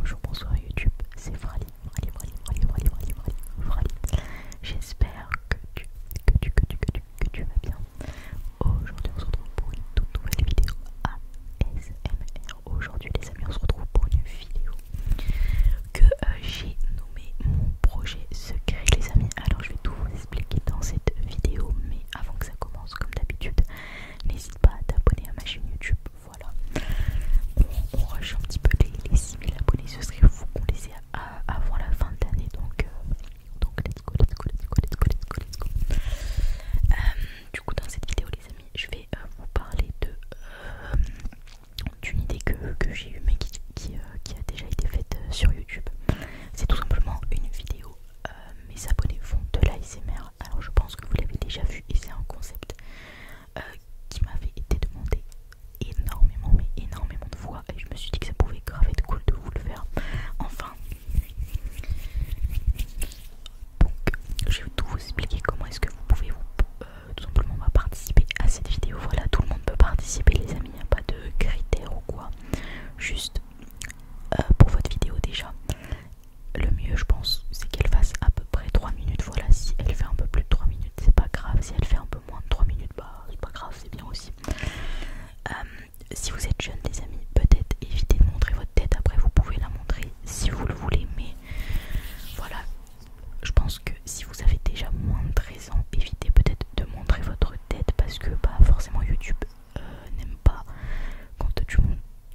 Bonjour, bonsoir YouTube, c'est Frali, Frali, Frali, Frali, Frali, Frali, J'espère que tu, que tu, que tu, vas bien. Aujourd'hui, on se retrouve pour une toute nouvelle vidéo ASMR. Aujourd'hui, les amis, on se retrouve pour une vidéo que euh, j'ai nommée mon projet secret, les amis. Alors, je vais tout vous expliquer dans cette vidéo, mais avant que ça commence, comme d'habitude, N'hésite pas à t'abonner à ma chaîne YouTube. Voilà. On, on un petit peu les, les 6000 abonnés. Ce serait fou qu'on les ait avant la fin de l'année. Euh, donc, let's go, let's go, let's go, let's go, let's go, let's go. Euh, du coup, dans cette vidéo, les amis, je vais euh, vous parler d'une idée que, j'ai eue mais qui, a déjà été faite sur YouTube. C'est tout simplement une vidéo euh, mes abonnés font de l'ASMR. Alors je pense que vous l'avez déjà vu et c'est un concept euh, qui m'avait été demandé énormément, mais énormément de fois. Et je me suis dit que ça pouvait grave être cool de vous le faire. Enfin, donc je vais tout vous expliquer comment est-ce que vous pouvez vous, euh, tout simplement participer à cette vidéo. Voilà, tout le monde peut participer, les amis. Il n'y a pas de critères ou quoi. Juste euh, pour votre vidéo déjà. Le mieux, je pense, c'est qu'elle fasse à peu près 3 minutes. Voilà, si elle fait un peu plus de 3 minutes, c'est pas grave. Si elle fait un peu moins de 3 minutes, bah c'est pas grave, c'est bien aussi. Euh, si vous êtes jeune, des amis, peut-être évitez de montrer votre tête. Après, vous pouvez la montrer si vous le voulez, mais voilà. Je pense que si vous avez déjà moins de 13 ans, évitez peut-être de montrer votre tête parce que pas bah, forcément YouTube euh, n'aime pas quand tu,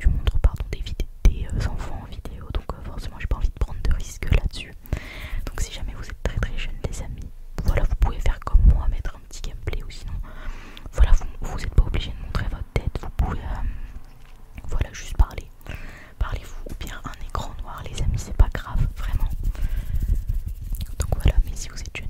montres pardon, des, des euh, enfants en vidéo, donc euh, forcément j'ai pas envie de prendre de risques là-dessus. Donc si jamais vous êtes très très jeune les amis, voilà vous pouvez faire comme moi, mettre un petit gameplay ou sinon voilà vous, vous êtes pas obligé de montrer votre tête, vous pouvez voilà juste parler. Parlez-vous ou bien un écran noir les amis, c'est pas grave, vraiment. Donc voilà, mais si vous êtes jeune,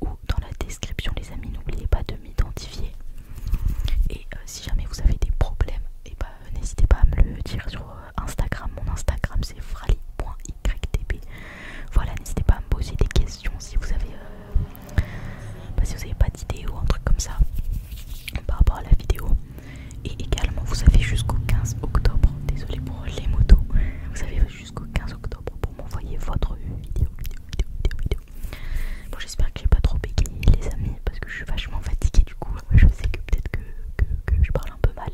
ou dans la description les amis n'oubliez pas de m'identifier et euh, si jamais vous avez des problèmes et eh ben, n'hésitez pas à me le dire sur euh, Instagram mon Instagram c'est frali.ytb voilà n'hésitez pas à me poser des questions si vous avez euh, bah, si vous n'avez pas d'idée ou un truc comme ça par rapport à la vidéo et également vous avez jusqu'au 15 octobre désolé pour les motos vous avez jusqu'au 15 octobre pour m'envoyer votre vidéo. Bon, j'espère que j'ai pas trop bégayé, les amis, parce que je suis vachement fatiguée du coup. Je sais que peut-être que, je parle un peu mal,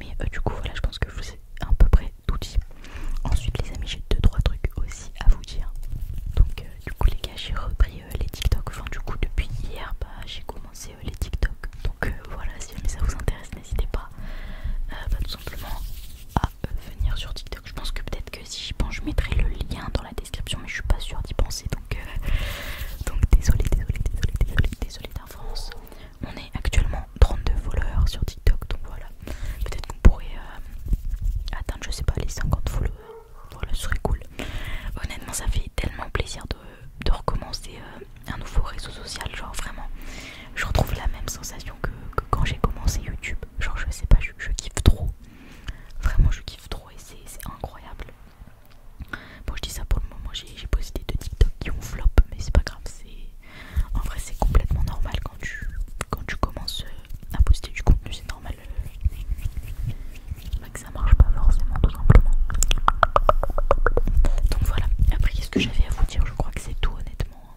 mais euh, du coup, voilà, je pense que je vous ai à peu près tout dit. Ensuite, les amis, j'ai deux, trois trucs aussi à vous dire. Donc, euh, du coup, les gars, j'ai repris euh, les TikTok. Enfin, du coup, depuis hier, bah, j'ai commencé les TikTok. Donc, voilà, si jamais ça vous intéresse, n'hésitez pas. Bah, tout simplement à euh, venir sur TikTok. Je pense que peut-être que si j'y pense, je mettrai le lien dans la description, mais je suis pas sûre d'y penser donc, euh, donc désolé, désolé, désolé, désolé, désolé On est actuellement 32 followers sur TikTok donc voilà. Peut-être qu'on pourrait euh, atteindre, je sais pas, les 50 followers. Voilà, ce serait cool. Honnêtement, ça fait tellement plaisir de, recommencer un nouveau réseau social, genre vraiment. Je retrouve la même sensation que, quand j'ai commencé YouTube. Genre je sais pas, je, kiffe trop. Vraiment je kiffe trop et c'est incroyable. Bon je dis ça pour le moment, j'ai posté deux TikTok qui ont flop, mais c'est pas grave, c'est. En vrai c'est complètement normal quand tu quand tu commences euh, à poster du contenu, c'est normal. que ça marche pas forcément tout simplement. Donc voilà, après qu'est-ce que j'avais à vous dire Je crois que c'est tout honnêtement.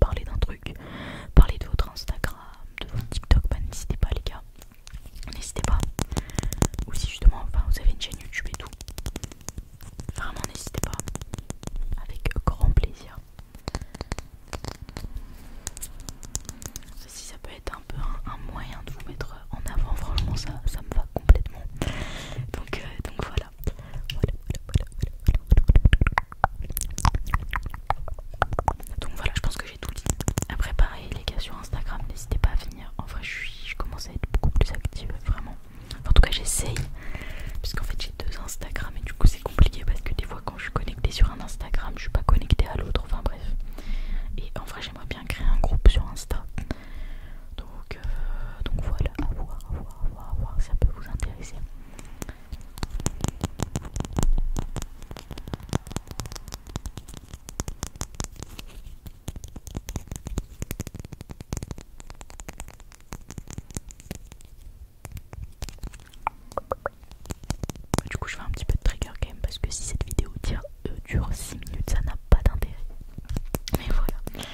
parler d'un truc, parler de votre Instagram, de votre TikTok, ben, n'hésitez pas les gars, n'hésitez pas. Ou si justement enfin, vous avez une chaîne YouTube et tout, vraiment n'hésitez pas, avec grand plaisir. Ceci ça peut être un peu un, moyen de vous mettre en avant, franchement ça, me va complètement. Donc, euh, donc voilà, donc voilà, je pense que j'ai tout dit. Après, préparer les gars, sur Instagram, n'hésitez pas à venir. En je, suis, commence à être beaucoup plus active, vraiment. en tout cas, j'essaye. Puisqu'en fait, j'ai deux Instagram et du coup, c'est compliqué parce que des fois, quand je suis connectée sur un Instagram, je suis pas connectée à l'autre. Enfin, bref. Et en vrai, j'aimerais bien créer un groupe sur Insta. Donc, euh, donc voilà, à voir, à voir, à voir, à voir si ça peut vous intéresser. Du coup, je fais un petit peu de trigger game parce que si cette vidéo euh, dure 6 minutes, ça n'a pas d'intérêt. Mais voilà.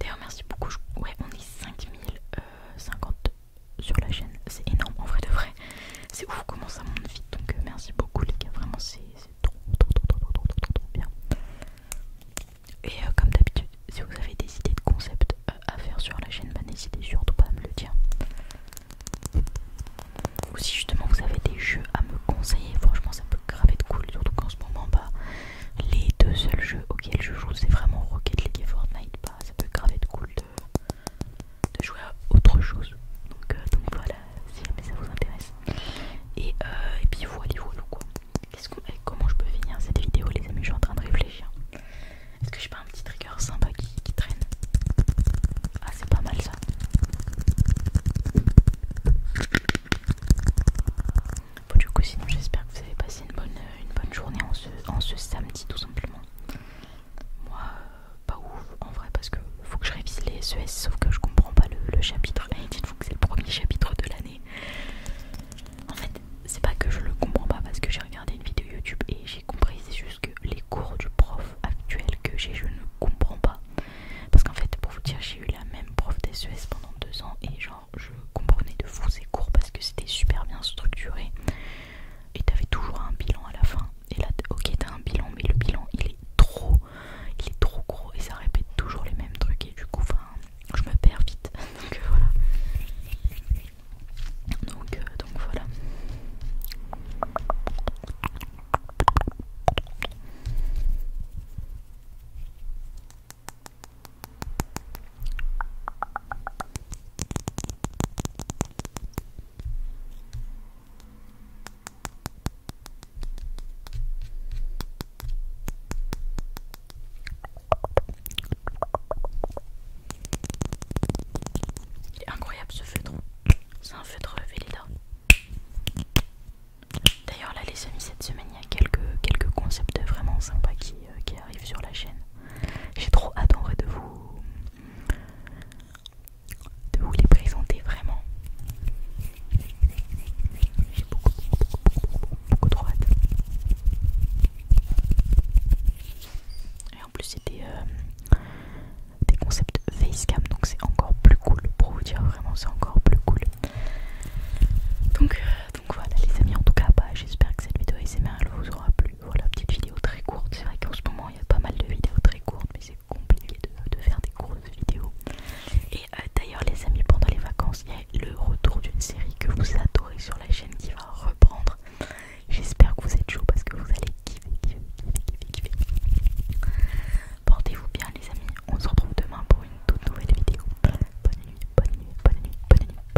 D'ailleurs, merci beaucoup. Ouais, on est 5050 sur la chaîne. C'est énorme en vrai de vrai. C'est ouf comment ça monte vite. Donc euh, merci beaucoup les gars. Vraiment c'est trop trop trop, trop, trop, trop, trop, trop, bien. Et euh, comme d'habitude, si vous avez des idées de concepts euh, à faire sur la chaîne, bah, n'hésitez surtout pas à me le dire. Ou si justement vous avez des jeux à me conseiller, franchement ça peut grave être cool. Surtout qu'en ce moment, bah, les deux seuls jeux auxquels je joue, c'est vraiment Rocket League et Fortnite ça peut grave être cool de, jouer à autre chose. Euh, donc, voilà, si jamais ça vous intéresse. Et, euh, et puis voilà, voilà quoi. comment je peux finir cette vidéo, les amis Je suis en train de réfléchir. Est-ce que j'ai pas un petit trigger sympa qui, qui traîne Ah, c'est pas mal ça. Bon, du coup, sinon, j'espère que vous avez passé une bonne une bonne journée en ce, ce samedi tout simplement. Moi, euh, pas ouf en vrai parce que faut que je révise les SES e sauf que je comprends pas le, chapitre. Et dites-vous que c'est le premier chapitre de l'année. En fait, c'est pas que je le comprends pas parce que j'ai regardé une vidéo YouTube et j'ai compris, c'est juste que les cours du prof actuel que j'ai, je ne comprends pas. Parce qu'en fait, pour vous dire, j'ai eu la même prof des SES pendant deux ans et genre je comprenais de fou ces court parce que c'était super bien structuré et t'avais toujours un bilan à la fin et là ok t'as un bilan mais le bilan il est trop il est trop gros et ça répète toujours les mêmes trucs et du coup je me perds vite euh, euh, donc voilà donc voilà il est incroyable ce feutre. C'est un feutre Velleda. D'ailleurs là les amis cette semaine il y a quelques, quelques concepts vraiment sympas qui euh, arrive sur la chaîne. J'ai trop hâte en vrai de vous de vous les présenter vraiment. J'ai beaucoup, beaucoup, trop hâte. Et en plus c'est des, euh, des concepts facecam donc c'est encore plus cool pour vous dire vraiment c'est encore plus cool. Donc, euh, voilà les amis en tout cas bah, j'espère que cette vidéo ASMR elle vous aura plu. Voilà, petite vidéo très courte. C'est vrai qu'en ce moment, il y a pas mal de vidéos très courtes, mais c'est compliqué de, faire des grosses vidéos. Et euh, d'ailleurs, les amis, pendant les vacances, il y a le retour d'une série que vous adorez sur la chaîne qui va reprendre. J'espère que vous êtes chaud parce que vous allez kiffer, kiffer, kiffer, kiffer, kiffer. Portez-vous bien, les amis. On se retrouve demain pour une toute nouvelle vidéo. Bonne nuit, bonne nuit, bonne nuit, bonne nuit. Bonne nuit.